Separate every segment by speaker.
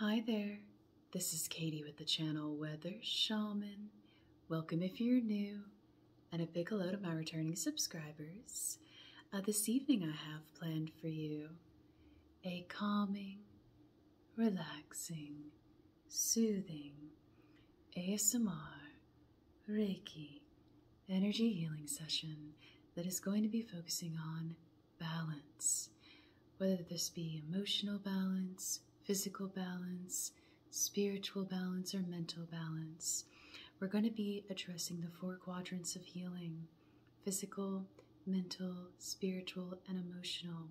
Speaker 1: Hi there, this is Katie with the channel Weather Shaman. Welcome if you're new, and a big hello to my returning subscribers. Uh, this evening I have planned for you a calming, relaxing, soothing ASMR Reiki energy healing session that is going to be focusing on balance, whether this be emotional balance, physical balance, spiritual balance, or mental balance. We're going to be addressing the four quadrants of healing physical, mental, spiritual, and emotional,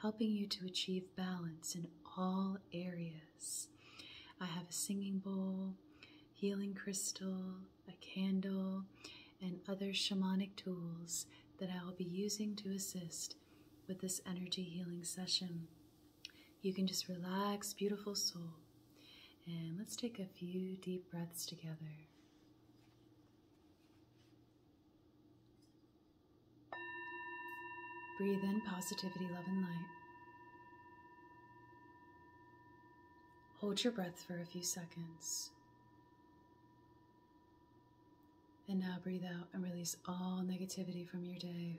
Speaker 1: helping you to achieve balance in all areas. I have a singing bowl, healing crystal, a candle, and other shamanic tools that I will be using to assist with this energy healing session. You can just relax, beautiful soul. And let's take a few deep breaths together. Breathe in positivity, love, and light. Hold your breath for a few seconds. And now breathe out and release all negativity from your day.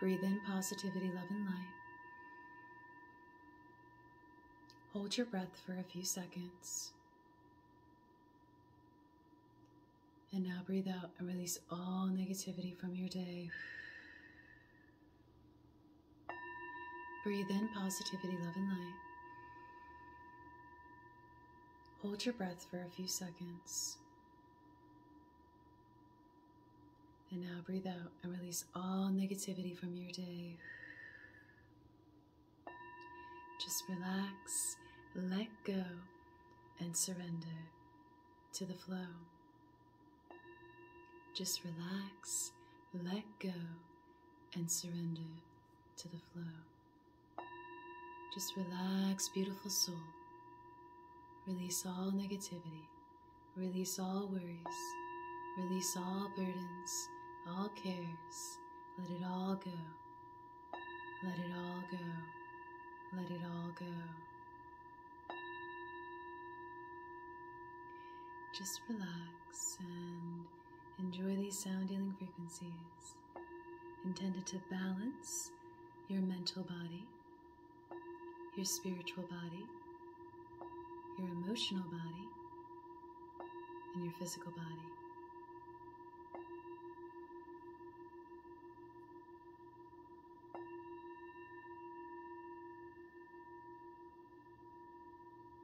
Speaker 1: Breathe in positivity, love, and light. Hold your breath for a few seconds. And now breathe out and release all negativity from your day. Breathe in positivity, love, and light. Hold your breath for a few seconds. And now breathe out and release all negativity from your day. Just relax, let go, and surrender to the flow. Just relax, let go, and surrender to the flow. Just relax, beautiful soul. Release all negativity, release all worries, release all burdens, all cares. Let it all go. Let it all go. Let it all go. Just relax and enjoy these sound healing frequencies intended to balance your mental body, your spiritual body, your emotional body, and your physical body.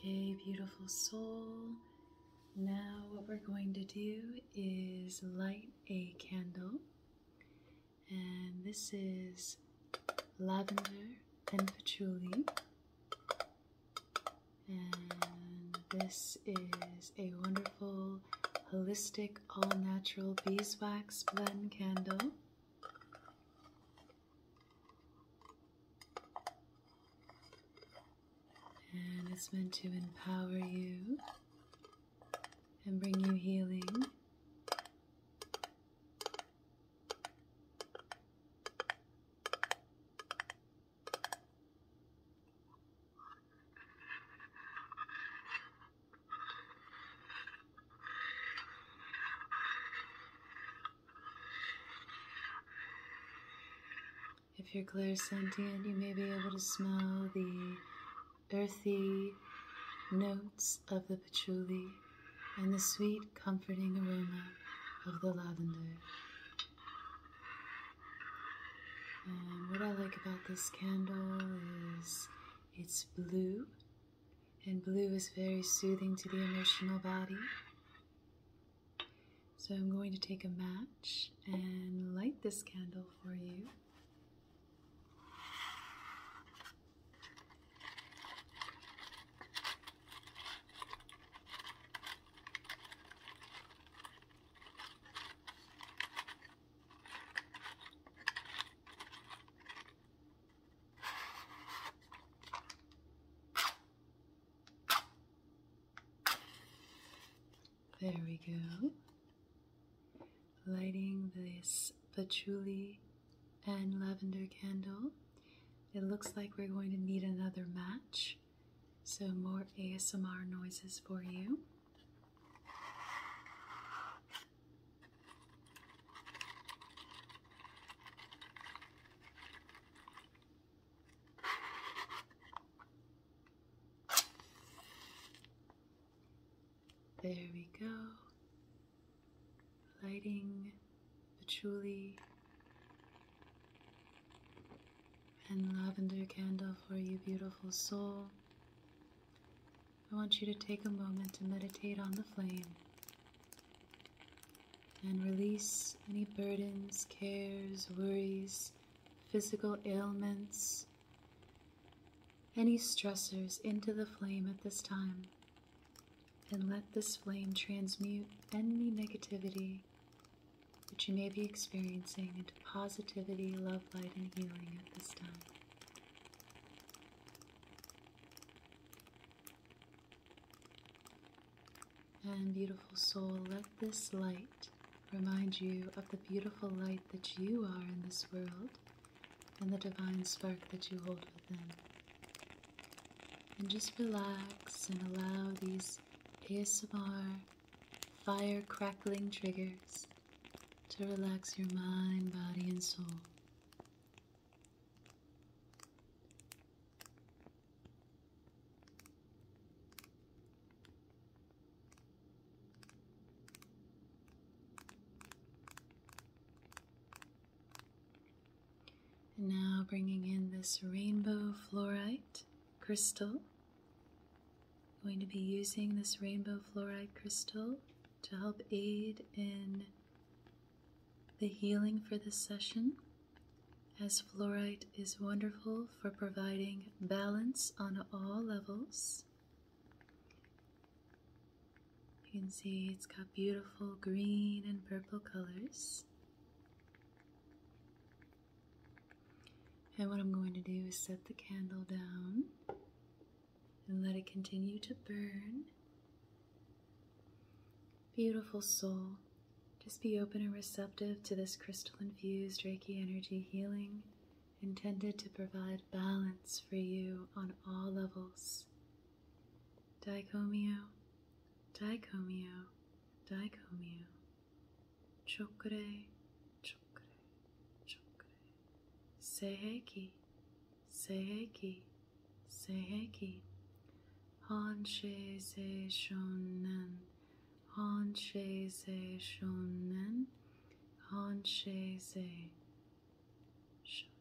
Speaker 1: Okay, beautiful soul, now, what we're going to do is light a candle, and this is lavender and patchouli, and this is a wonderful holistic all natural beeswax blend candle. And it's meant to empower you and bring you healing. If you're clear clairsentient, you may be able to smell the earthy notes of the patchouli and the sweet, comforting aroma of the lavender. And what I like about this candle is it's blue, and blue is very soothing to the emotional body. So I'm going to take a match and light this candle for you. There we go. Lighting this patchouli and lavender candle. It looks like we're going to need another match. So more ASMR noises for you. There we go. Lighting patchouli and lavender candle for you, beautiful soul. I want you to take a moment to meditate on the flame and release any burdens, cares, worries, physical ailments, any stressors into the flame at this time. And let this flame transmute any negativity that you may be experiencing into positivity, love, light, and healing at this time. And beautiful soul, let this light remind you of the beautiful light that you are in this world and the divine spark that you hold within. And just relax and allow these ASMR fire crackling triggers to relax your mind, body, and soul. And now bringing in this rainbow fluorite crystal. I'm going to be using this rainbow fluorite crystal to help aid in the healing for this session as fluorite is wonderful for providing balance on all levels. You can see it's got beautiful green and purple colors. And what I'm going to do is set the candle down and let it continue to burn. Beautiful soul, just be open and receptive to this crystal infused Reiki energy healing intended to provide balance for you on all levels. Daikomyo, Daikomyo, Daikomyo. Chokure, Chokure, Chokure. Seiheki, Seiheki, Seiheki. Hanshe Se Shonen, Hanshe Se Shonen, Hanshe Se Shonen.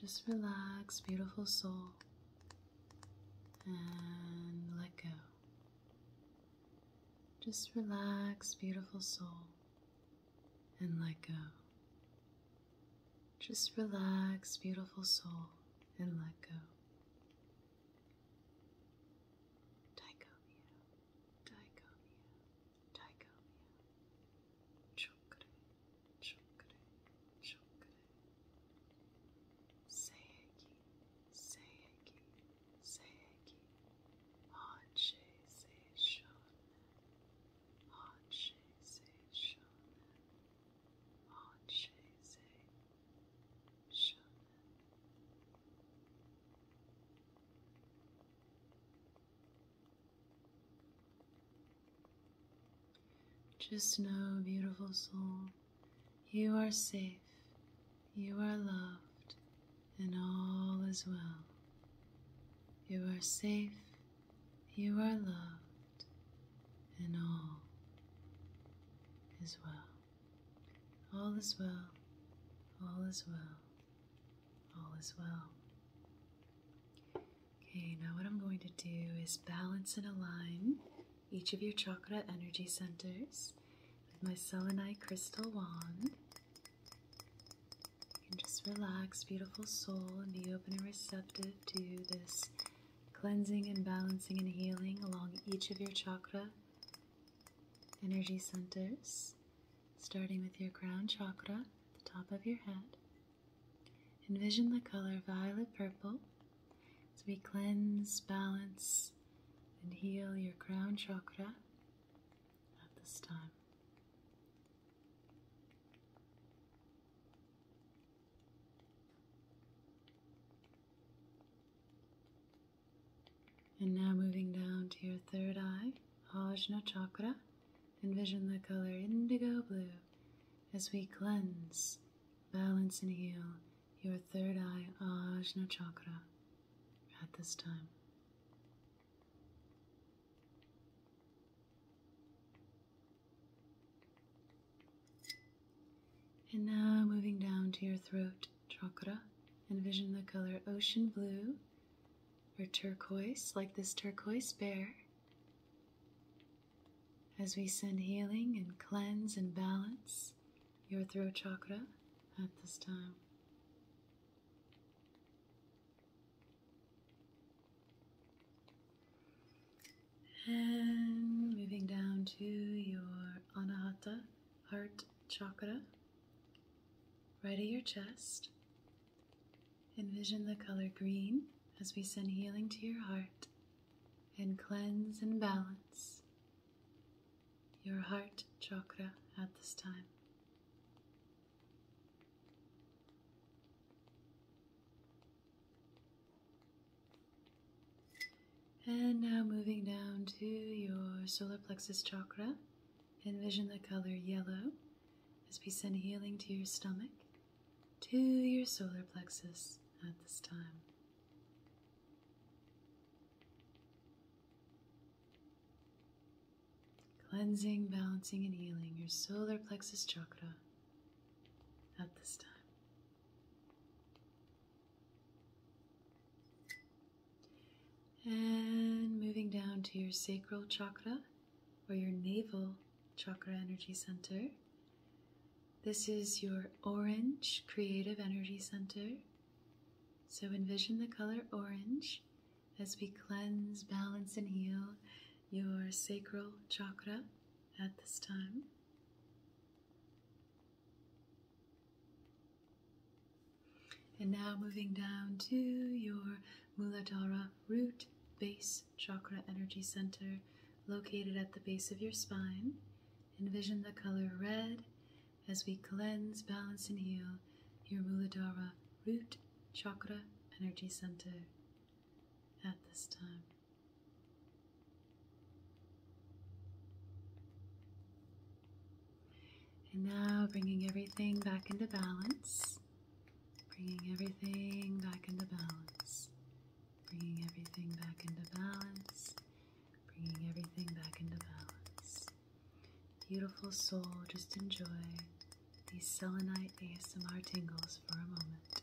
Speaker 1: Just relax, beautiful soul and let go. Just relax, beautiful soul, and let go. Just relax, beautiful soul, and let go. Sayaki, Sayaki, Sayaki, Hanshe Seishonen, Hanshe Seishonen, Hanshe Seishonen. Just know, beautiful soul, you are safe, you are loved, and all is well. You are safe, you are loved, and all is well. All is well, all is well, all is well. Okay, now what I'm going to do is balance and align each of your chakra energy centers with my selenite crystal wand. You can just relax, beautiful soul, and be open and receptive to this cleansing and balancing and healing along each of your chakra energy centers, starting with your crown chakra, the top of your head. Envision the color violet purple as we cleanse, balance, and heal your crown chakra at this time. And now moving down to your third eye, Ajna chakra, envision the color indigo blue as we cleanse, balance, and heal your third eye Ajna chakra at this time. And now moving down to your throat chakra, envision the color ocean blue or turquoise, like this turquoise bear. As we send healing and cleanse and balance your throat chakra at this time. And moving down to your anahata, heart chakra, right at your chest. Envision the color green as we send healing to your heart and cleanse and balance your heart chakra at this time. And now moving down to your solar plexus chakra, envision the color yellow as we send healing to your stomach, to your solar plexus at this time. Cleansing, balancing, and healing your solar plexus chakra at this time. And moving down to your sacral chakra or your navel chakra energy center, this is your orange creative energy center. So envision the color orange as we cleanse, balance, and heal your sacral chakra at this time. And now moving down to your Muladhara root base chakra energy center located at the base of your spine. Envision the color red as we cleanse, balance, and heal your Muladhara root chakra energy center at this time. And now bringing everything back into balance, bringing everything back into balance bringing everything back into balance, bringing everything back into balance. Beautiful soul, just enjoy these selenite ASMR tingles for a moment.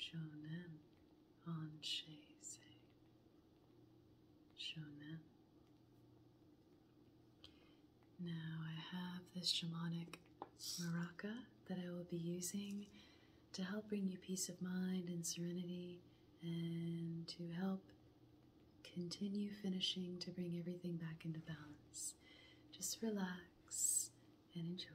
Speaker 1: Shonen Ansheisei. Shonen. Now I have this shamanic maraca that I will be using to help bring you peace of mind and serenity and to help continue finishing to bring everything back into balance. Just relax and enjoy.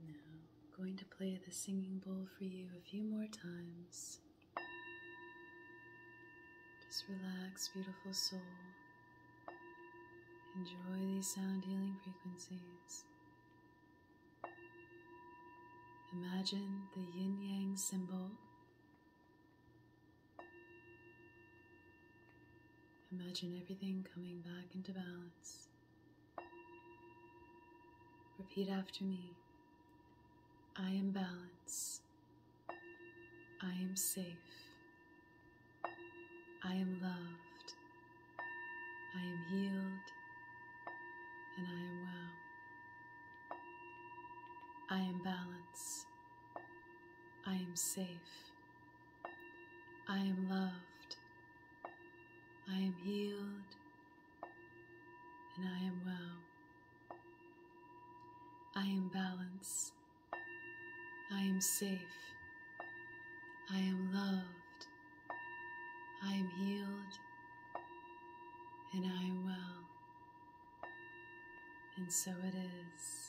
Speaker 1: Now, going to play the singing bowl for you a few more times. Just relax, beautiful soul. Enjoy these sound healing frequencies. Imagine the yin yang symbol. Imagine everything coming back into balance. Repeat after me. I am balance. I am safe. I am loved. I am healed. And I am well. I am balance. I am safe. I am loved. I am healed and I am well. I am balanced. I am safe. I am loved. I am healed. And I am well. And so it is.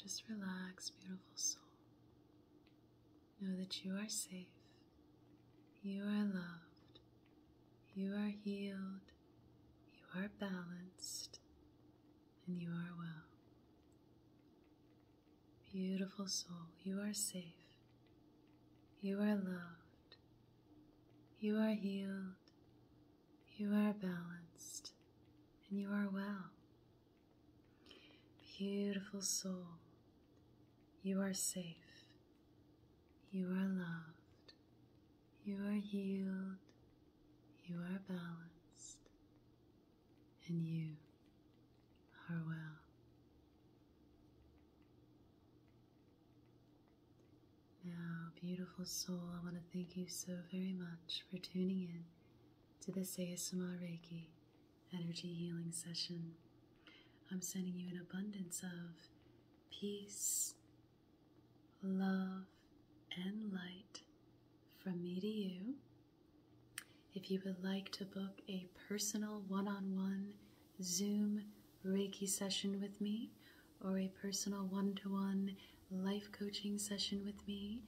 Speaker 1: Just relax, beautiful soul. Know that you are safe, you are loved, you are healed, you are balanced, and you are well. Beautiful soul, you are safe, you are loved, you are healed, you are balanced, and you are well. Beautiful soul, you are safe, you are loved, you are healed, you are balanced, and you are well. Now, beautiful soul, I want to thank you so very much for tuning in to this ASMR Reiki energy healing session. I'm sending you an abundance of peace, love, and light from me to you. If you would like to book a personal one on one Zoom Reiki session with me or a personal one to one life coaching session with me,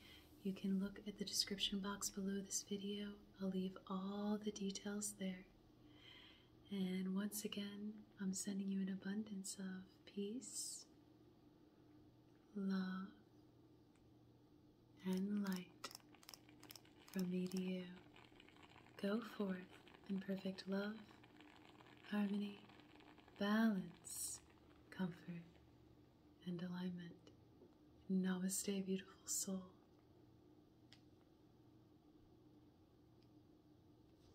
Speaker 1: you can look at the description box below this video. I'll leave all the details there. And once again, I'm sending you an abundance of peace, love, and light from me to you. Go forth in perfect love, harmony, balance, comfort, and alignment. Namaste, beautiful soul.